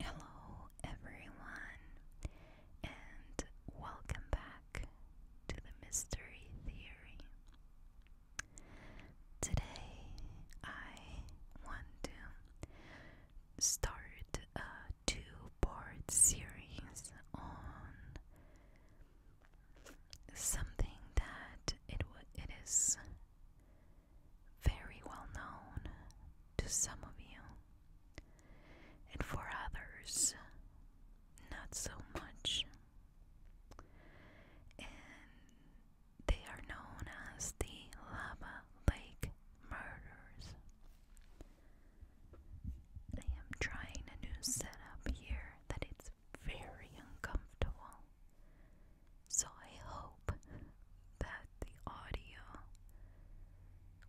Hello, everyone, and welcome back to the Mystery Theory. Today, I want to start a two part series on something that it, it is very well known to some of you and for others, not so much. And they are known as the Lava Lake Murders. I am trying a new setup here that it's very uncomfortable. So I hope that the audio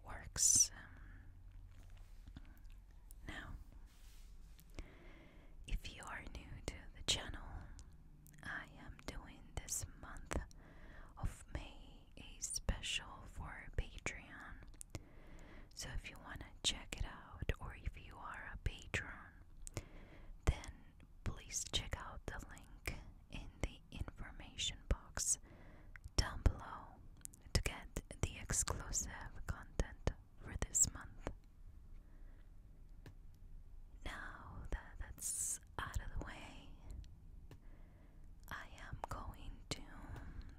works. now, if you are new to the channel, I am doing this month of May a special for Patreon. So if you want to check it out, or if you are a patron, then please check out the link in the information box down below to get the exclusive content for this month. Now that that's out of the way, I am going to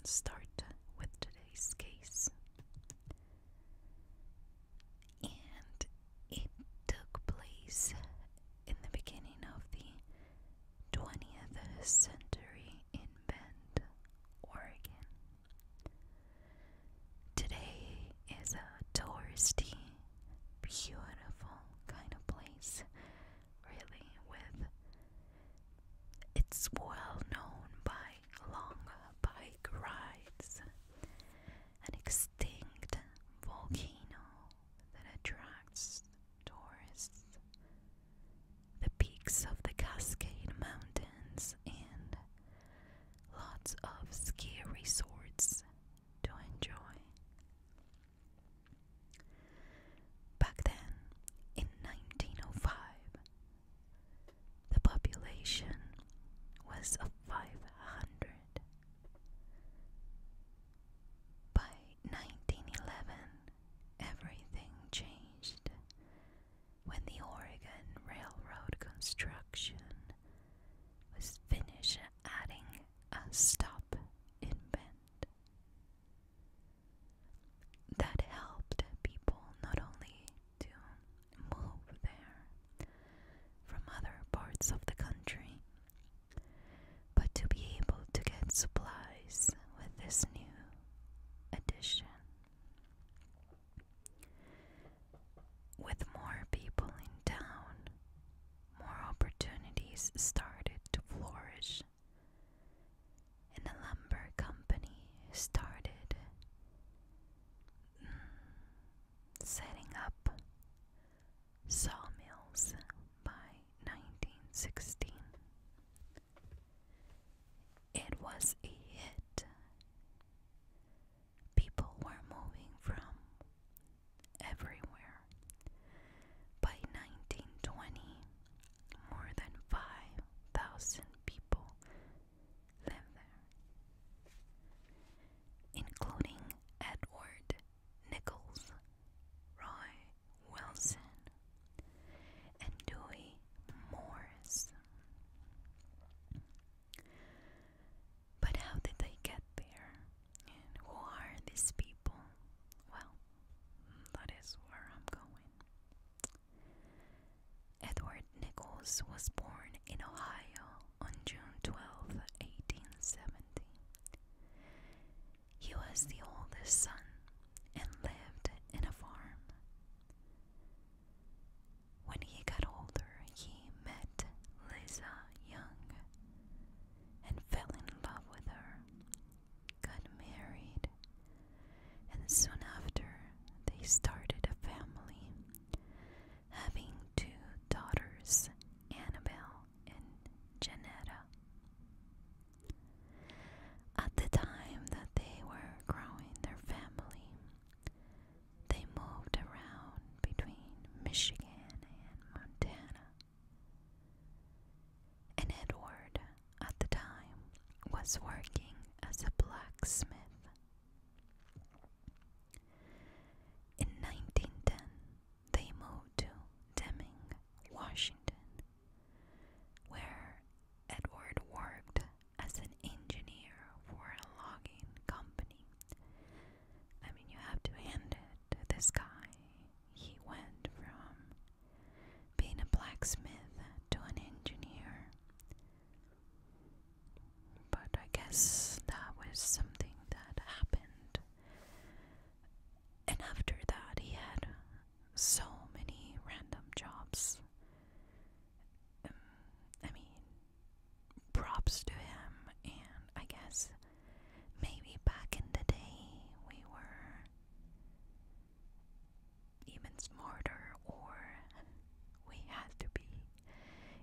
start with today's case. And it took place in the beginning of the 20th century in Bend, Oregon. Today is a touristy, beautiful kind of place, really, with it's well known by long bike rides, an extinct volcano that attracts tourists. The peaks of the Cascade Mountains and lots of ski resorts to enjoy. Back then, in 1905, the population was of 500. By 1911, everything changed when the Oregon Railroad construction was finished, adding a stop in Bend. That helped people not only to move there from other parts of the country, but to be able to get supplies with this new addition, with more people in town, more opportunities started to flourish, and the lumber company started mm, setting up sawmills by 1916. It was a hit. People were moving from everywhere. By 1920, more than 5,000 people lived there, including Edward Nichols, Roy Wilson, and Dewey Morris. But how did they get there? And who are these people? Well, that is where I'm going. Edward Nichols was born in Ohio on June 12, 1870. He was the oldest son and lived in a farm. When he got older, he met Liza Young and fell in love with her, got married, and soon after they started a family, having two daughters, Annabelle and Janetta. At the time that they were growing their family, they moved around between Michigan and Montana. And Edward, at the time, was working as a blacksmith. In 1910, they moved to Deming, Washington, where Edward worked as an engineer for a logging company. I mean, you have to hand it to this guy. He went from being a blacksmith to an engineer. But I guess that was something that happened. And after that, he had so many random jobs. Um, I mean, props to him, and I guess maybe back in the day we were even smarter, or we had to be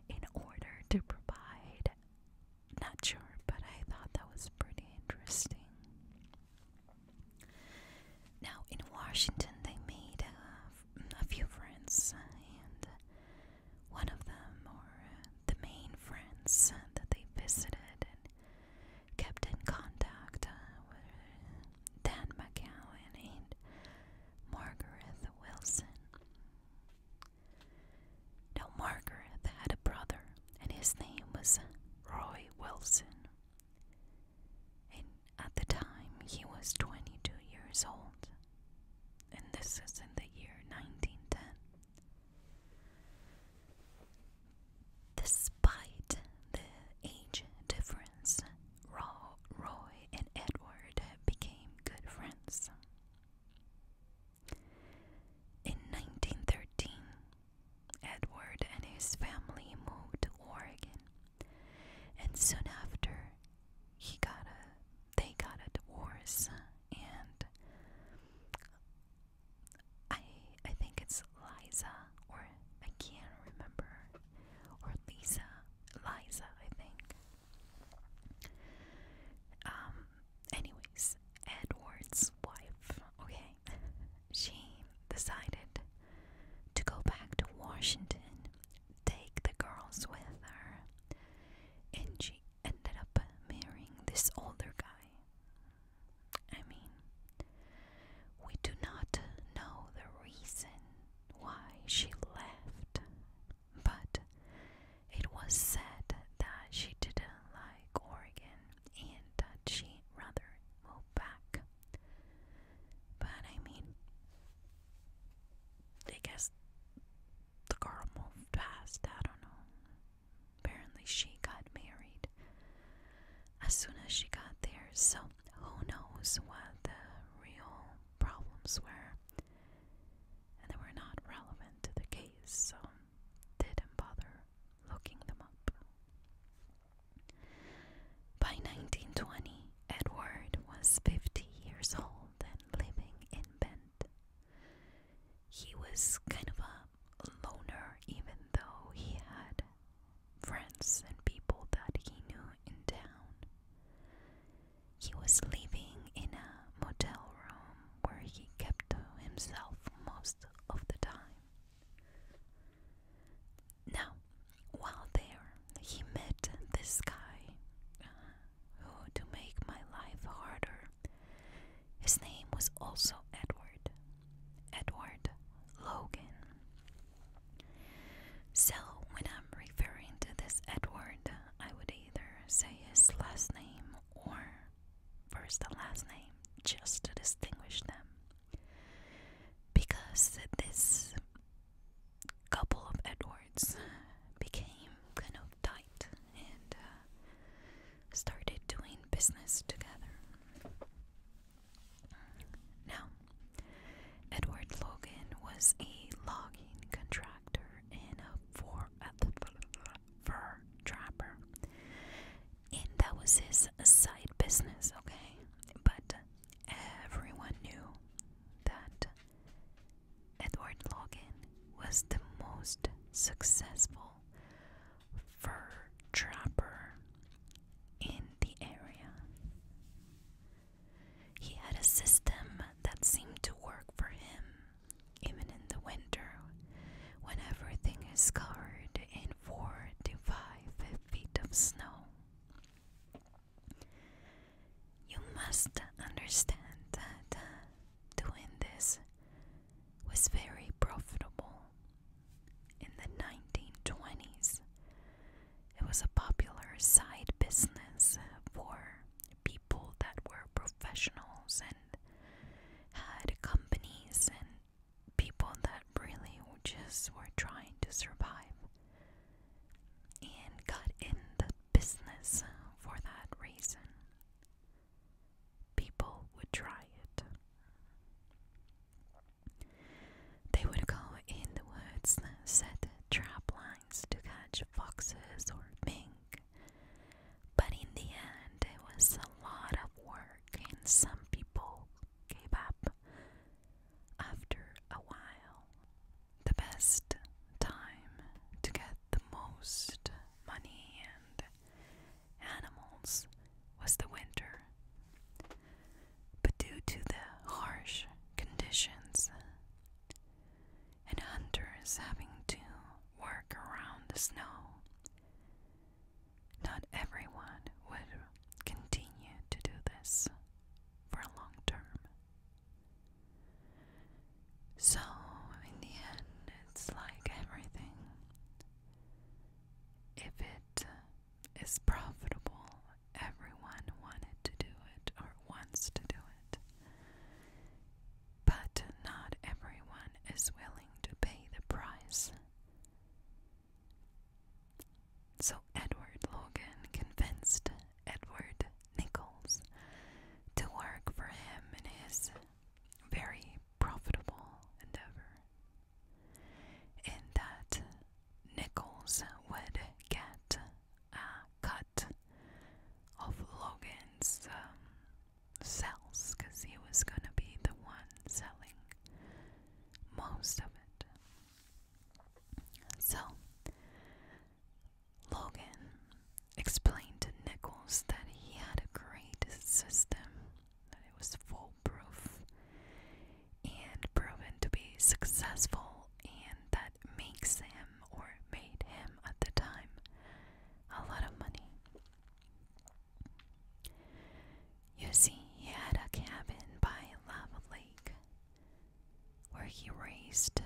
in order to provide. Not sure, but I thought that was pretty interesting. Now, in Washington, they made a few friends, and one of them, or uh, the main friends that they visited and kept in contact, uh, with Dan McGowan and Margaret Wilson. Now, Margaret had a brother and his name was Roy Wilson. And at the time, he was 22 years old, and this is in the year 1910. Despite the age difference, Roy and Edward became good friends. In 1913, Edward and his family moved to Oregon, and soon after he got a they got a divorce and I I think it's Liza or I can't remember or Lisa Liza I think um anyways Edward's wife okay she decided to go back to Washington, take the girls with her, and she ended up marrying this older guy. I mean, we do not know the reason why she left, but it was said that she didn't like Oregon and she rather moved back. But I mean, they guess the girl moved past. I don't know. Apparently, she got married as soon as she got there, so who knows what the real problems were. And they were not relevant to the case, so didn't bother looking them up. By 1920, Edward was 50 years old and living in Bent. He was kind of a loner, even though he had friends and people that he knew in town. He was living in a motel room where he kept to himself most of the time. Now, while there, he met this guy uh, who, to make my life harder, his name was also Edward. Edward Logan. So, when I'm referring to this Edward, I would either say his last name or first and last name just to distinguish them because this couple of Edwards became kind of tight and uh, started doing business together. Now, Edward Logan was a logging contractor and a fur trapper and that was his side business, okay? But everyone knew that Edward Logan was the most successful fur trapper in the area. He had a system that seemed to work for him, even in the winter, when everything is covered in four to five feet of snow. You must understand that uh, doing this was very profitable. In the 1920s, it was a popular side business for people that were professionals and had companies and people that really just were trying to survive and got in the business for that reason. People would try it. They would go in the woods, set trap lines to catch foxes or mink. But in the end, it was a lot of work, and some people gave up. After a while, the best time to get the most money and animals was the winter. But due to the harsh conditions and hunters having to work around the snow, not everyone would continue to do this for a long term. So, in the end, it's like everything. If it is profitable, everyone wanted to do it or wants to do it. But not everyone is willing to pay the price so Edward Logan convinced Edward Nichols to work for him in his very profitable endeavor. In that, Nichols would get a cut of Logan's um, sales because he was going to be the one selling most of it. So, Logan explained to Nichols that he had a great system, that it was foolproof and proven to be successful, and that makes him or made him at the time a lot of money. You see, he had a cabin by Lava Lake where he raised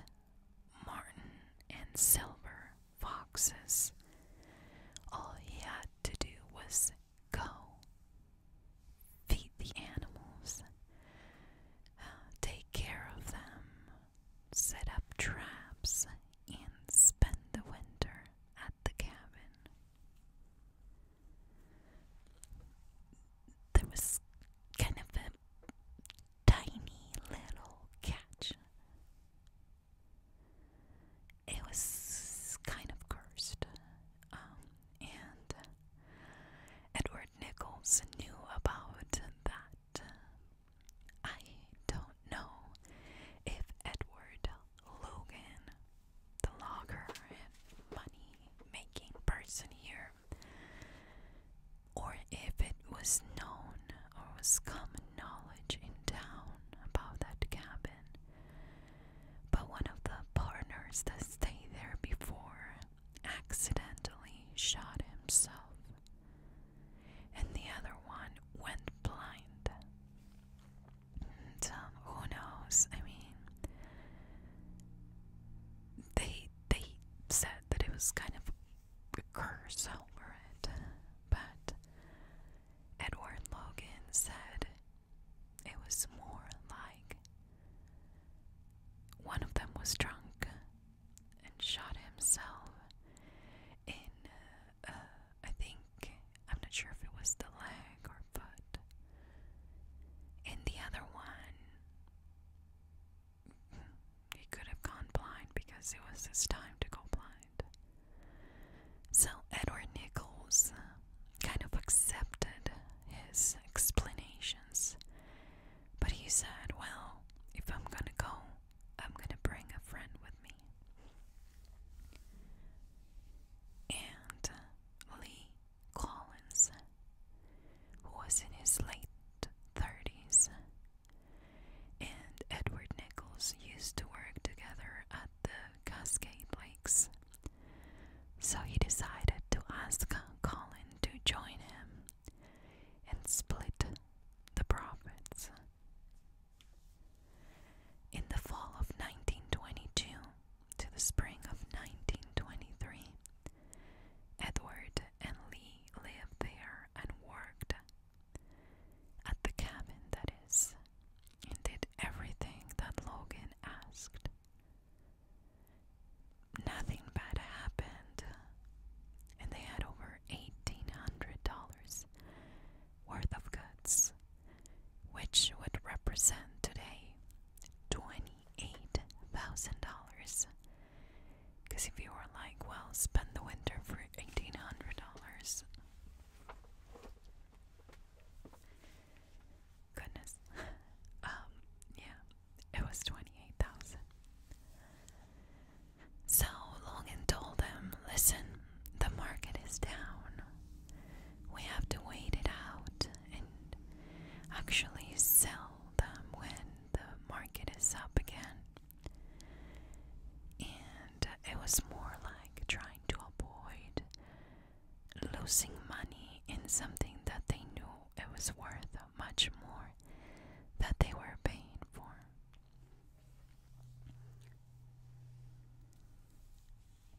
marten and silver foxes. All he had to do was go, feed the animals, uh, take care of them, set up traps, and spend the winter at the cabin there was kind of a tiny little catch. It was kind of cursed. Um, and Edward Nichols knew about that. I don't know if Edward Logan the logger money making person here, or if it was known or was common knowledge in town about that cabin. But one of the partners that stayed there before accidentally shot himself, and the other one went blind who knows? I mean, they they said that it was kind of a curse over it, but Edward Logan said it was more like one of them was drunk and shot himself in. Uh, I think, I'm not sure if it was the leg or foot. And the other one, he could have gone blind because it was his time to go blind. So Edward Nichols uh, kind of accepted his explanations, but he said, Well, if I'm gonna go, I'm gonna bring a friend with me and Lee Collins, was in his late 30s, and Edward Nichols used to work together at the Cascade Lakes. So he decided to ask Colin to join him and split the profits. In the fall of 1922 to the spring of 1923, Edward and Lee lived there and worked at the cabin, that is, and did everything that Logan asked. Nothing bad happened, and they had over $1,800 worth of goods, which would represent today $28,000. Because if you were like, well, spend the winter for $1,800. Goodness. Um, yeah, it was 28,000. So Logan told them, listen, the market is down we have to wait it out and actually sell them when the market is up again. And it was more like trying to avoid losing money in something that they knew it was worth much more that they were paying for.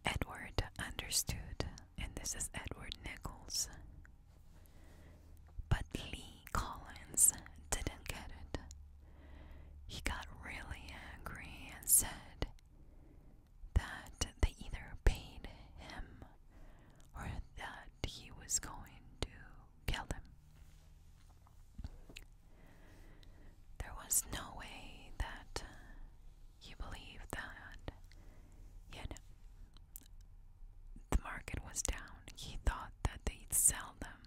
Edward understood, and this is Edward Nichols. But Lee Collins didn't get it. He got really angry and said that they either paid him or that he was going to kill them. There was no way that you believe that, yet the market was down. He thought that they'd sell them,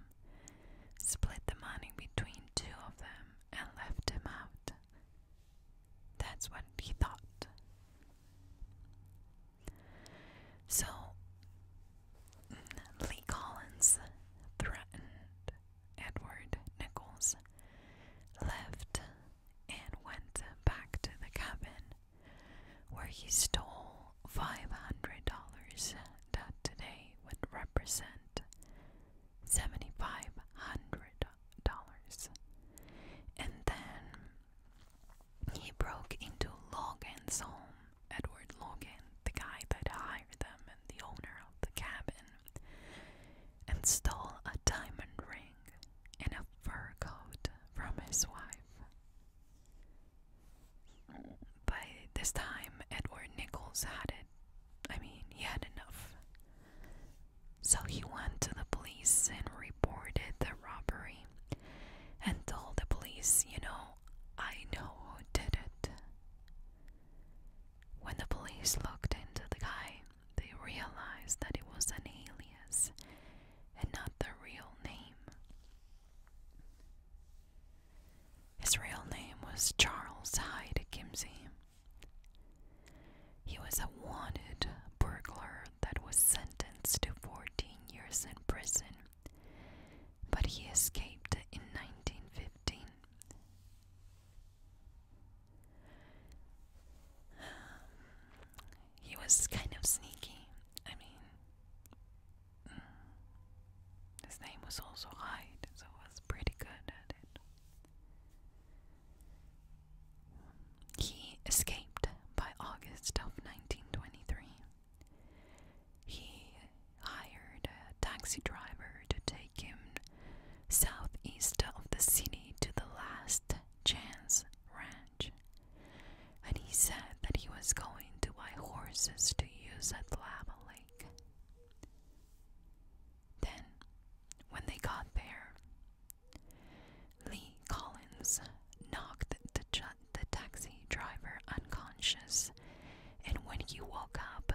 split the money between two of them, and left him out. That's what he thought. So Lee Collins threatened Edward Nichols, left and went back to the cabin where he stole $500 that today would represent $7,500. And then he broke into Logan's home, Edward Logan, the guy that hired them and the owner of the cabin and stole a diamond ring and a fur coat from his wife. By this time, Edward Nichols had it. I mean, he had enough. So he went to the police and reported the robbery and told the police, you know, I know who did it. When the police looked into the guy, they realized that it was an alias and not the real name. His real name was Charles Hyde Kimsey. He was a wanted burglar that was sentenced to 14 years in prison, but he escaped in 1915. He was kind of sneaky. I mean, mm, his name was also Hyde, so was pretty good at it. He escaped by August of 1923. He hired a taxi driver to take him southeast of the city to the last chance ranch. And he said that he was going to buy horses to use at Lava Lake. Then, when they got there, Lee Collins knocked the, the taxi driver unconscious, and when he woke up,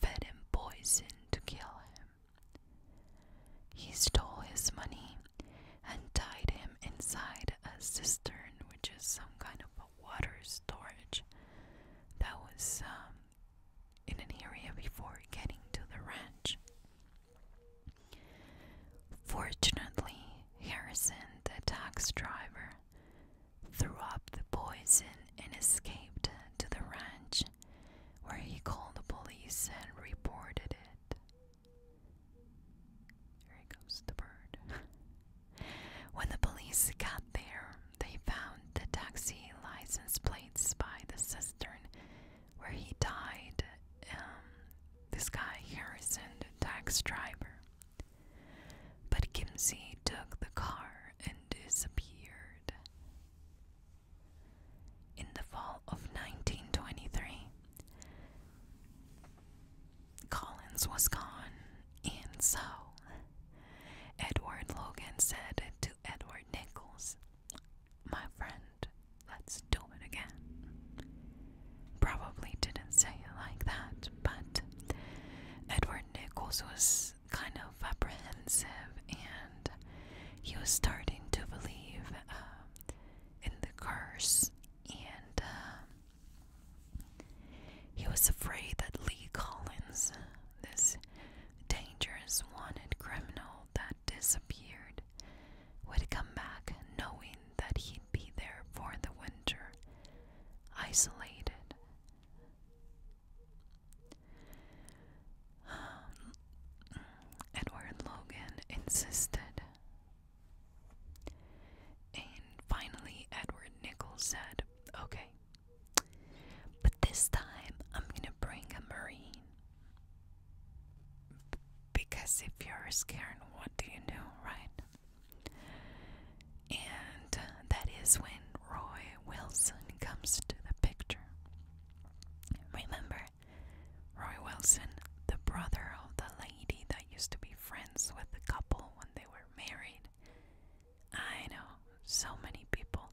fed him poison to kill him. He stole his money and tied him inside a cistern, which is some kind of a water storage that was um, in an area before getting to the ranch. Fortunately, Harrison, the tax driver, threw up the poison and escaped to the ranch where he called the police and reported it. Here goes the bird. when the police got there, they found the taxi license plates by the cistern where he died. Um, this guy, Harrison, the tax driver. But Kimsey took the car and disappeared. In the fall of 1923, Collins was gone, and so Edward Logan said to Edward Nichols, My friend, let's do it again. Probably didn't say it like that, but Edward Nichols was kind of apprehensive and he was starting to believe um, in the curse and um, he was afraid that Lee Collins, this dangerous wanted criminal that disappeared, would come back knowing that he'd be there for the winter, isolated. Um, Edward Logan insisted. And finally, Edward Nichols said, Okay, but this time I'm gonna bring a Marine. because if you're Scared, what do you know, right? And uh, that is when Roy Wilson comes to the picture. Remember, Roy Wilson, the brother of the lady that used to be friends with the couple when they were married. I know, so many people.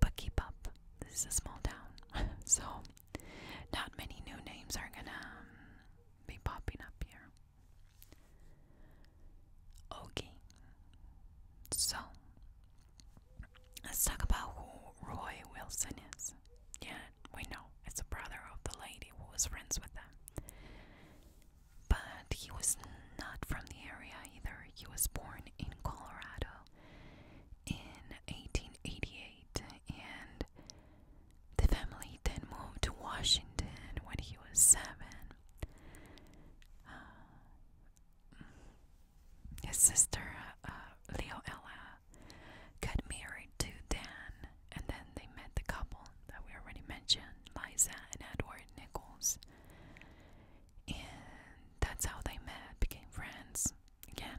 But keep up, this is a small town, so not many new names are gonna um, be popping up here. Okay, so Let's talk about who Roy Wilson is. Yeah, we know it's the brother of the lady who was friends with them. But he was not from the area either. He was born in Colorado in 1888, and the family then moved to Washington when he was seven. Uh, his sister, uh, Leoella, got married to Dan, and then they met the couple that we already mentioned, Liza and Edward Nichols. And that's how they met, became friends again.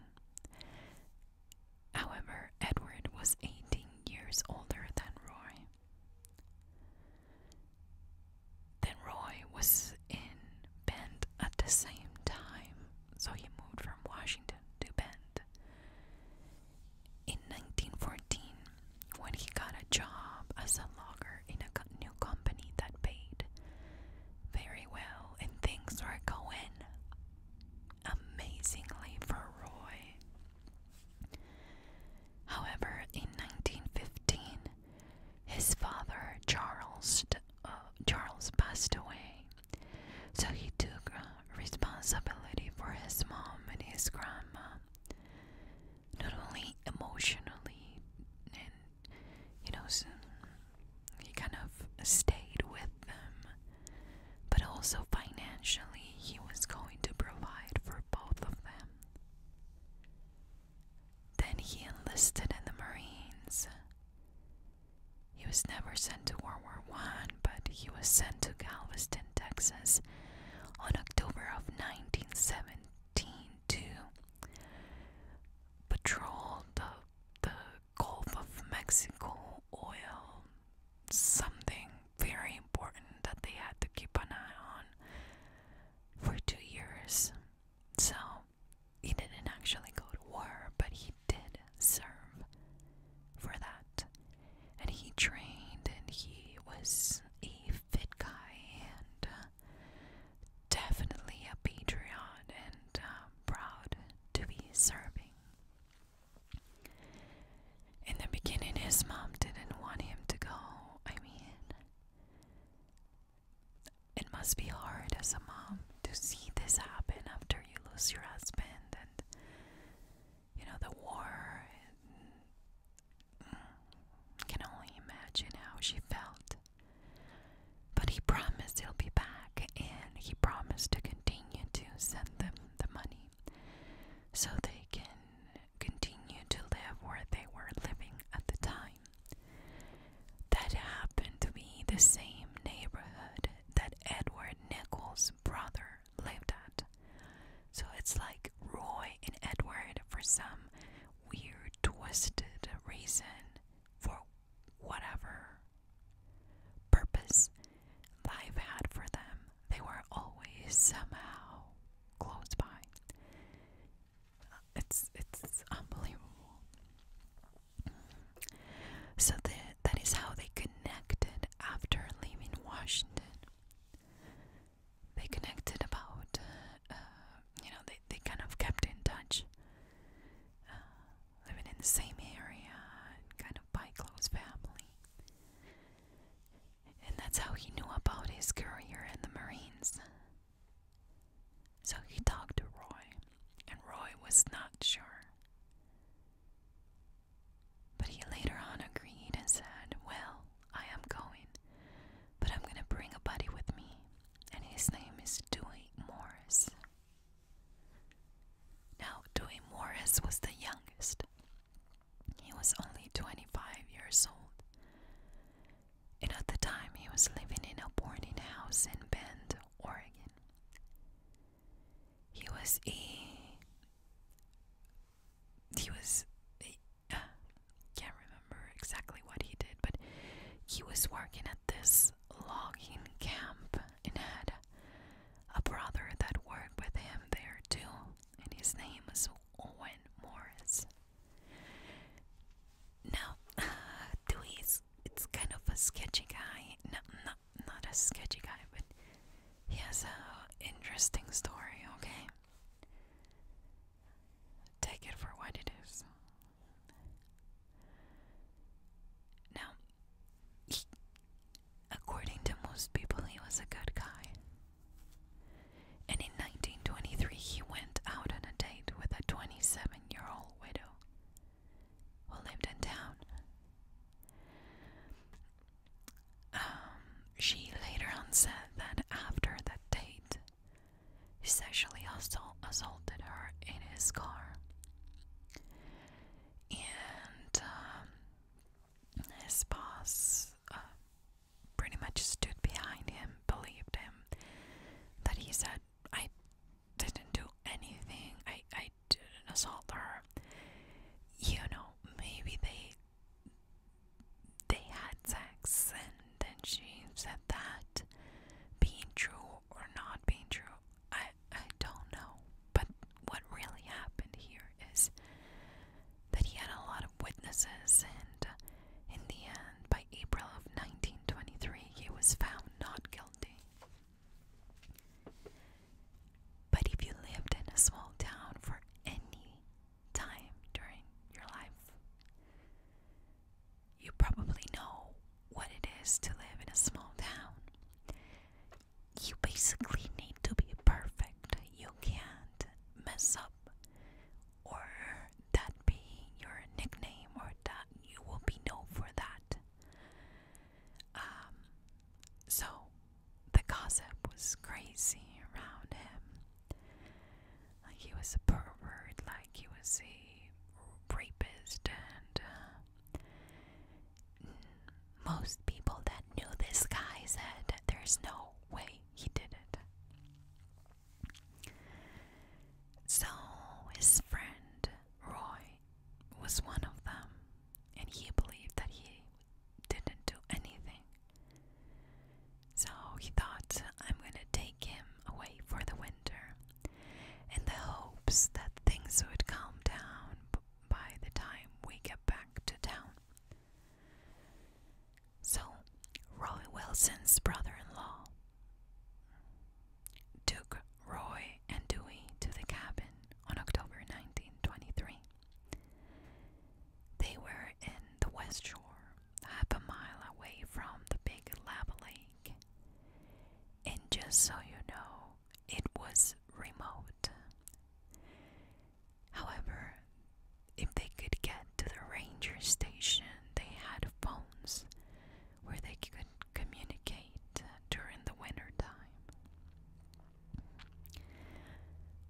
However, Edward was 18 years older than Roy. Then Roy was in Bend at the same time, so he moved from Washington to Bend. In 1914, when he got a job as a logger in a new company that paid very well, and things were going amazingly for Roy. However, in 1915, his father Charles uh, Charles passed away, so he took uh, responsibility for his mom and his grandma. Not only emotionally, and you know, he kind of stayed with them, but also financially, he was going to provide for both of them. Then he enlisted in the Marines. He was never sent to World War One, but he was sent to Galveston, Texas on October of 1917 to patrol the, the Gulf of Mexico oil. Something very important that they had to keep an eye on for two years. So he didn't actually go to war, but he did serve for that. And he trained and he was a fit guy and uh, definitely a patriot and uh, proud to be serving. In the beginning, his mom didn't want him to go. I mean, it must be hard as a mom to see this happen after you lose your husband and you know the war. And, can only imagine how she felt. But he promised he'll be back and he promised to continue to send them the money so they can continue to live where they were living at the time. That happened to be the same neighborhood that Edward Nichols' brother lived at. So it's like Roy and Edward, for some weird, twisted reason, for whatever purpose life had for them, they were always somehow close by. It's it's unbelievable. So that that is how they connected after leaving Washington. They connected about, uh, you know, they they kind of kept in touch, uh, living in the same area, kind of by close family. And that's how he knew about his career in the Marines. So he talked to Roy, and Roy was not sure. But he later on agreed and said, Well, I am going, but I'm going to bring a buddy with me, and his name is Dewey Morris. Now, Dewey Morris was the youngest. He was only 25 years old, and at the time he was living in a boarding house in Bend, Oregon. He was a he was can't remember exactly what he did, but he was working at this logging camp and had a brother that worked with him there too, and his name was Owen Morris. Now, uh, it's kind of a sketchy guy. No, not not a sketchy guy, but he has a interesting story. Okay, take it for what it is. Now, according to most people, he was a good guy. And in 1923, he went out on a date with a 27 year old widow who lived in town. Um, she later on said that after that date, he sexually assault assaulted her in his car. And um, his boss uh, pretty much stood behind him, believed him, that he said, I I didn't do anything. I I didn't assault her. You know, maybe they they had sex and then she said that being true or not being true. I I don't know. But what really happened here is that he had a lot of witnesses and uh, in the end by April of 1923 he was found not guilty. But if you lived in a small town for any time during your life, you probably know what it is to live in a small town. You basically need to be perfect. You can't mess up or that be your nickname or that you will be known for that. Um, so the gossip was crazy around him. Like he was a pervert, like he was a rapist, and uh, most people that knew this guy said there's no way he did it. So his friend Roy was one of them, and he believed that he didn't do anything. So he thought, I'm going to take him away for the winter in the hopes that things would calm down by the time we get back to town. So, Roy Wilson's brother in law Duke, Roy and Dewey to the cabin on October 1923. They were in the West Shore, half a mile away from the big Lab lake. And just so you know, it was remote. However, if they could get to the ranger station, they had phones where they could could communicate uh, during the winter time.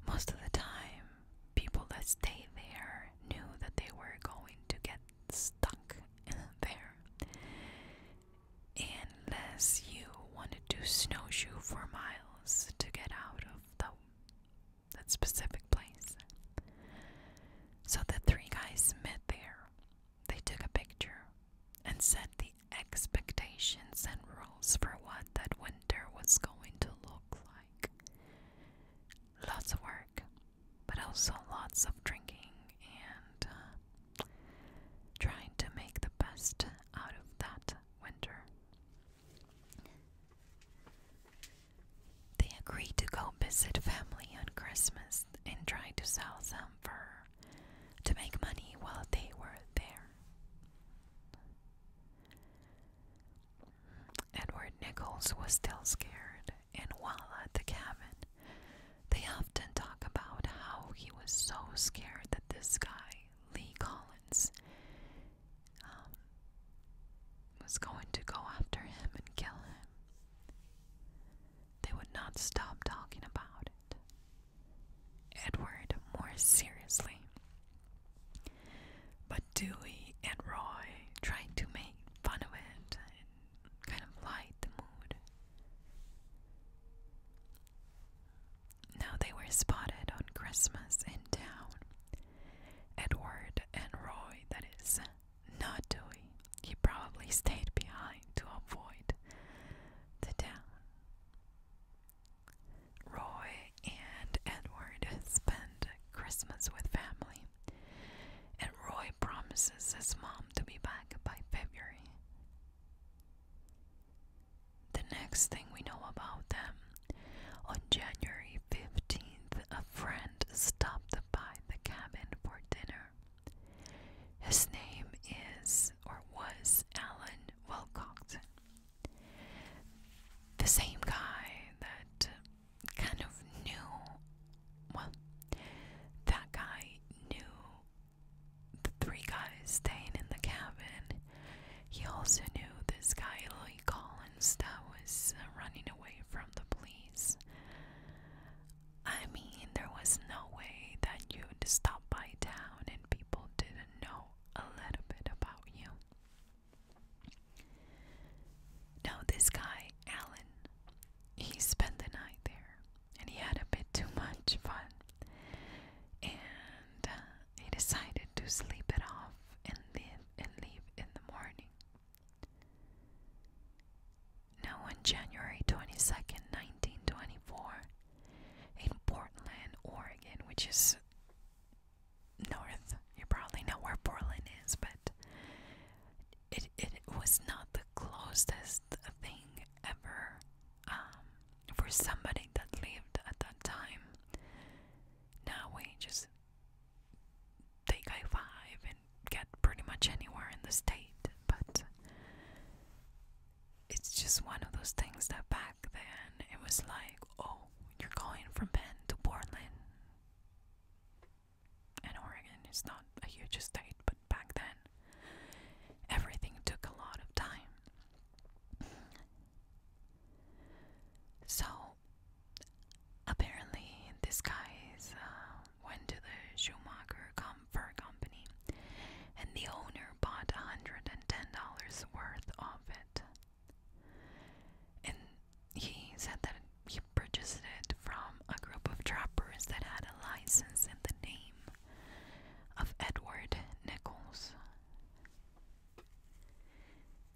Most of the time, people that stayed there knew that they were going to get stuck there. Unless you wanted to snowshoe for miles to get out of the that specific place. So the three guys met there they took a picture and set the expectations and rules for what that winter was going to look like. Lots of work, but also lots of drinking and uh, trying to make the best out of that winter. They agreed to go visit family on Christmas and tried to sell some fur to make money while they were there. Edward Nichols was still scared, and while at the cabin, they often talk about how he was so scared that this guy, Lee Collins, um, was going to go after him and kill him they would not stop talking about it. Edward more seriously. But Dewey and Roy tried to make fun of it and kind of light the mood. Now they were spotted on Christmas in town. Edward and Roy, that is, not doing, he probably stayed behind to avoid the town. Roy and Edward spend Christmas with family, and Roy promises his mom to be back by February. The next thing we know about them, on January 15th, a friend stopped by the cabin for dinner. His name is or was Alan Wilcoxon. The same guy that kind of knew, well, that guy knew the three guys staying in the cabin. He also knew this guy, Lee Collins, that was uh, running away from the police. I mean, there was no way that you'd stop by town and people didn't know a little bit about you. Now, this guy, Alan, he spent the night there and he had a bit too much fun. And uh, he decided to sleep it off and leave in the morning. Now, on January twenty second, 1924, in Portland, Oregon, which is north, you probably know where Portland is, but it, it was not the closest thing ever um, for somebody that lived at that time. Now we just take I 5 get pretty much anywhere in the state, but it's just one of those things that back then it was like, oh, you're going from Penn to Portland. And Oregon is not a huge state, but back then everything took a lot of time. So apparently, this guy's um, went to the Schumacher com Company, and the owner bought $110 worth of it. And he said that he purchased it from a group of trappers that had a license in the name of Edward Nichols.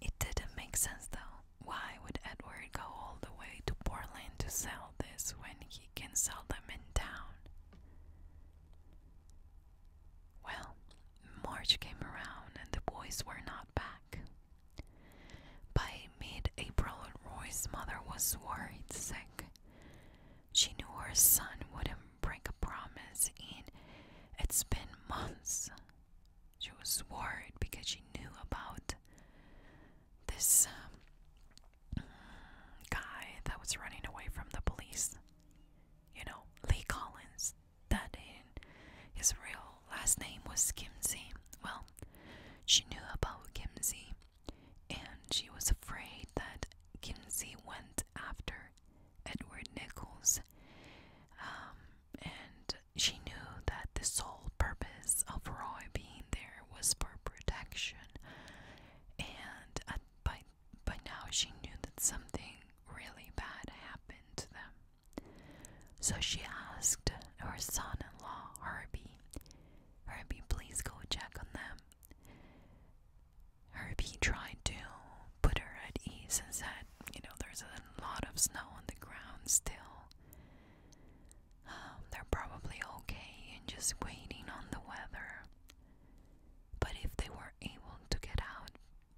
It didn't make sense though. Why would Edward go all the way to Portland to sell this when he can sell them in town? Well, March came around and the boys were not back. By mid April, Roy's mother was worried sick. She knew her son wouldn't break a promise, and it's been months. She was worried because she knew about this um, guy that was running away from the police. You know, Lee Collins. That his real last name was Kimsey. Well, she knew about Kimsey and she was afraid that Kimsey went after Edward Nichols. Um, and she knew that the sole purpose of Roy being there was for protection, and at, uh, by now she knew that something really bad happened to them. So she asked her son-in-law Herbie, "Herbie, please go check on them." Herbie tried to put her at ease and said, "You know, there's a lot of snow on the ground still." Um, they're probably okay and just waiting on the weather. But if they were able to get out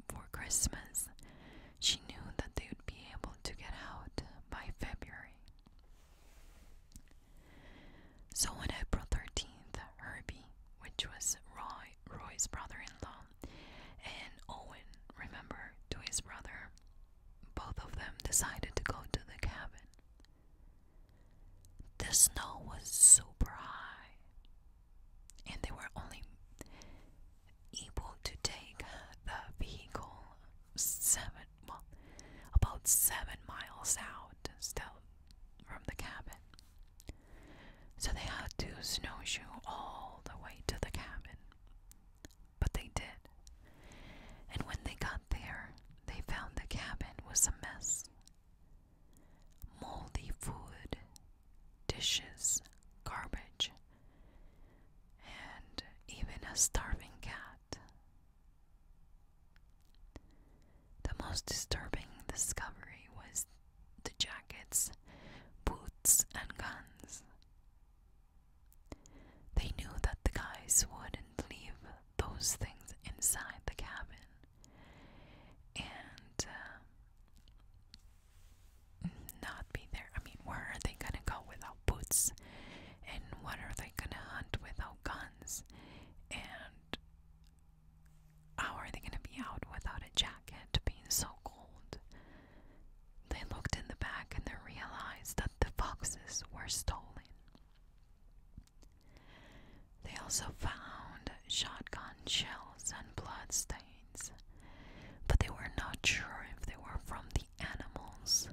for Christmas, she knew that they would be able to get out by February. So on April 13th, Herbie, which was Roy, Roy's brother-in-law, and Owen, remember, to his brother, both of them decided to go to the cabin. The snow was super high, and they were only able to take the vehicle seven, well, about seven miles out still from the cabin. So they had to snowshoe all the way to the cabin. But they did. And when they got there, they found the cabin was a mess. Moldy food, dishes, garbage, and even a starving cat. The most disturbing discovery was the jackets, boots, and guns. They knew that the guys wouldn't leave those things inside the cabin. And um, not be there. I mean, where are they gonna go without boots? And what are they gonna hunt without guns? And how are they gonna be out without a jacket being so cold? They looked in the back and they realized that the foxes were stolen. They also found shotgun shells and blood stains, but they were not sure if they were from the animals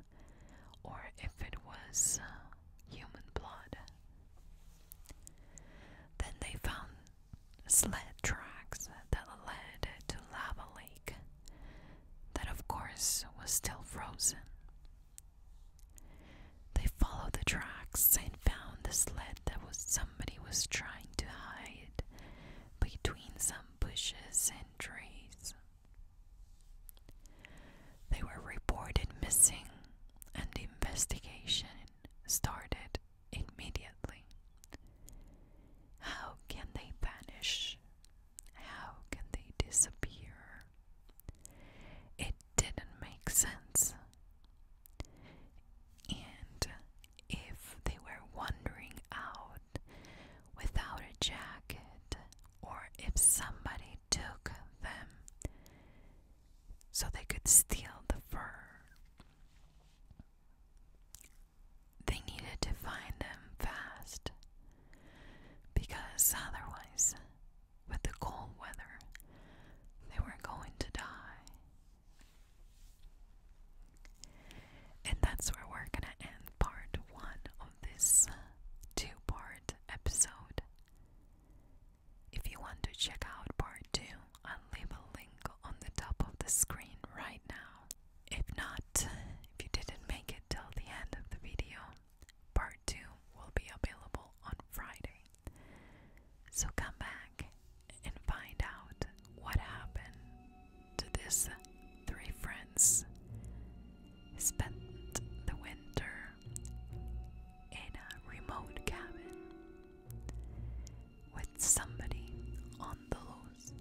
or if it was uh, human blood. Then they found sled tracks that led to Lava Lake, that of course was still frozen they followed the tracks and found the sled that was somebody was trying to hide between some bushes and trees. They were reported missing and the investigation started immediately. How can they vanish? How can they disappear? It didn't make sense. And if they were wandering out without a jacket, or if somebody took them so they could steal the fur, they needed to find them fast because otherwise with the cold weather, they were going to die. And that's where we're going to end part one of this two part episode. If you want to check out part two, I'll leave a link on the top of the screen right now. If not, if you didn't make it till the end of the video, Part 2 will be available on Friday. So come back and find out what happened to this three friends. Spent the winter in a remote cabin with somebody on the loose.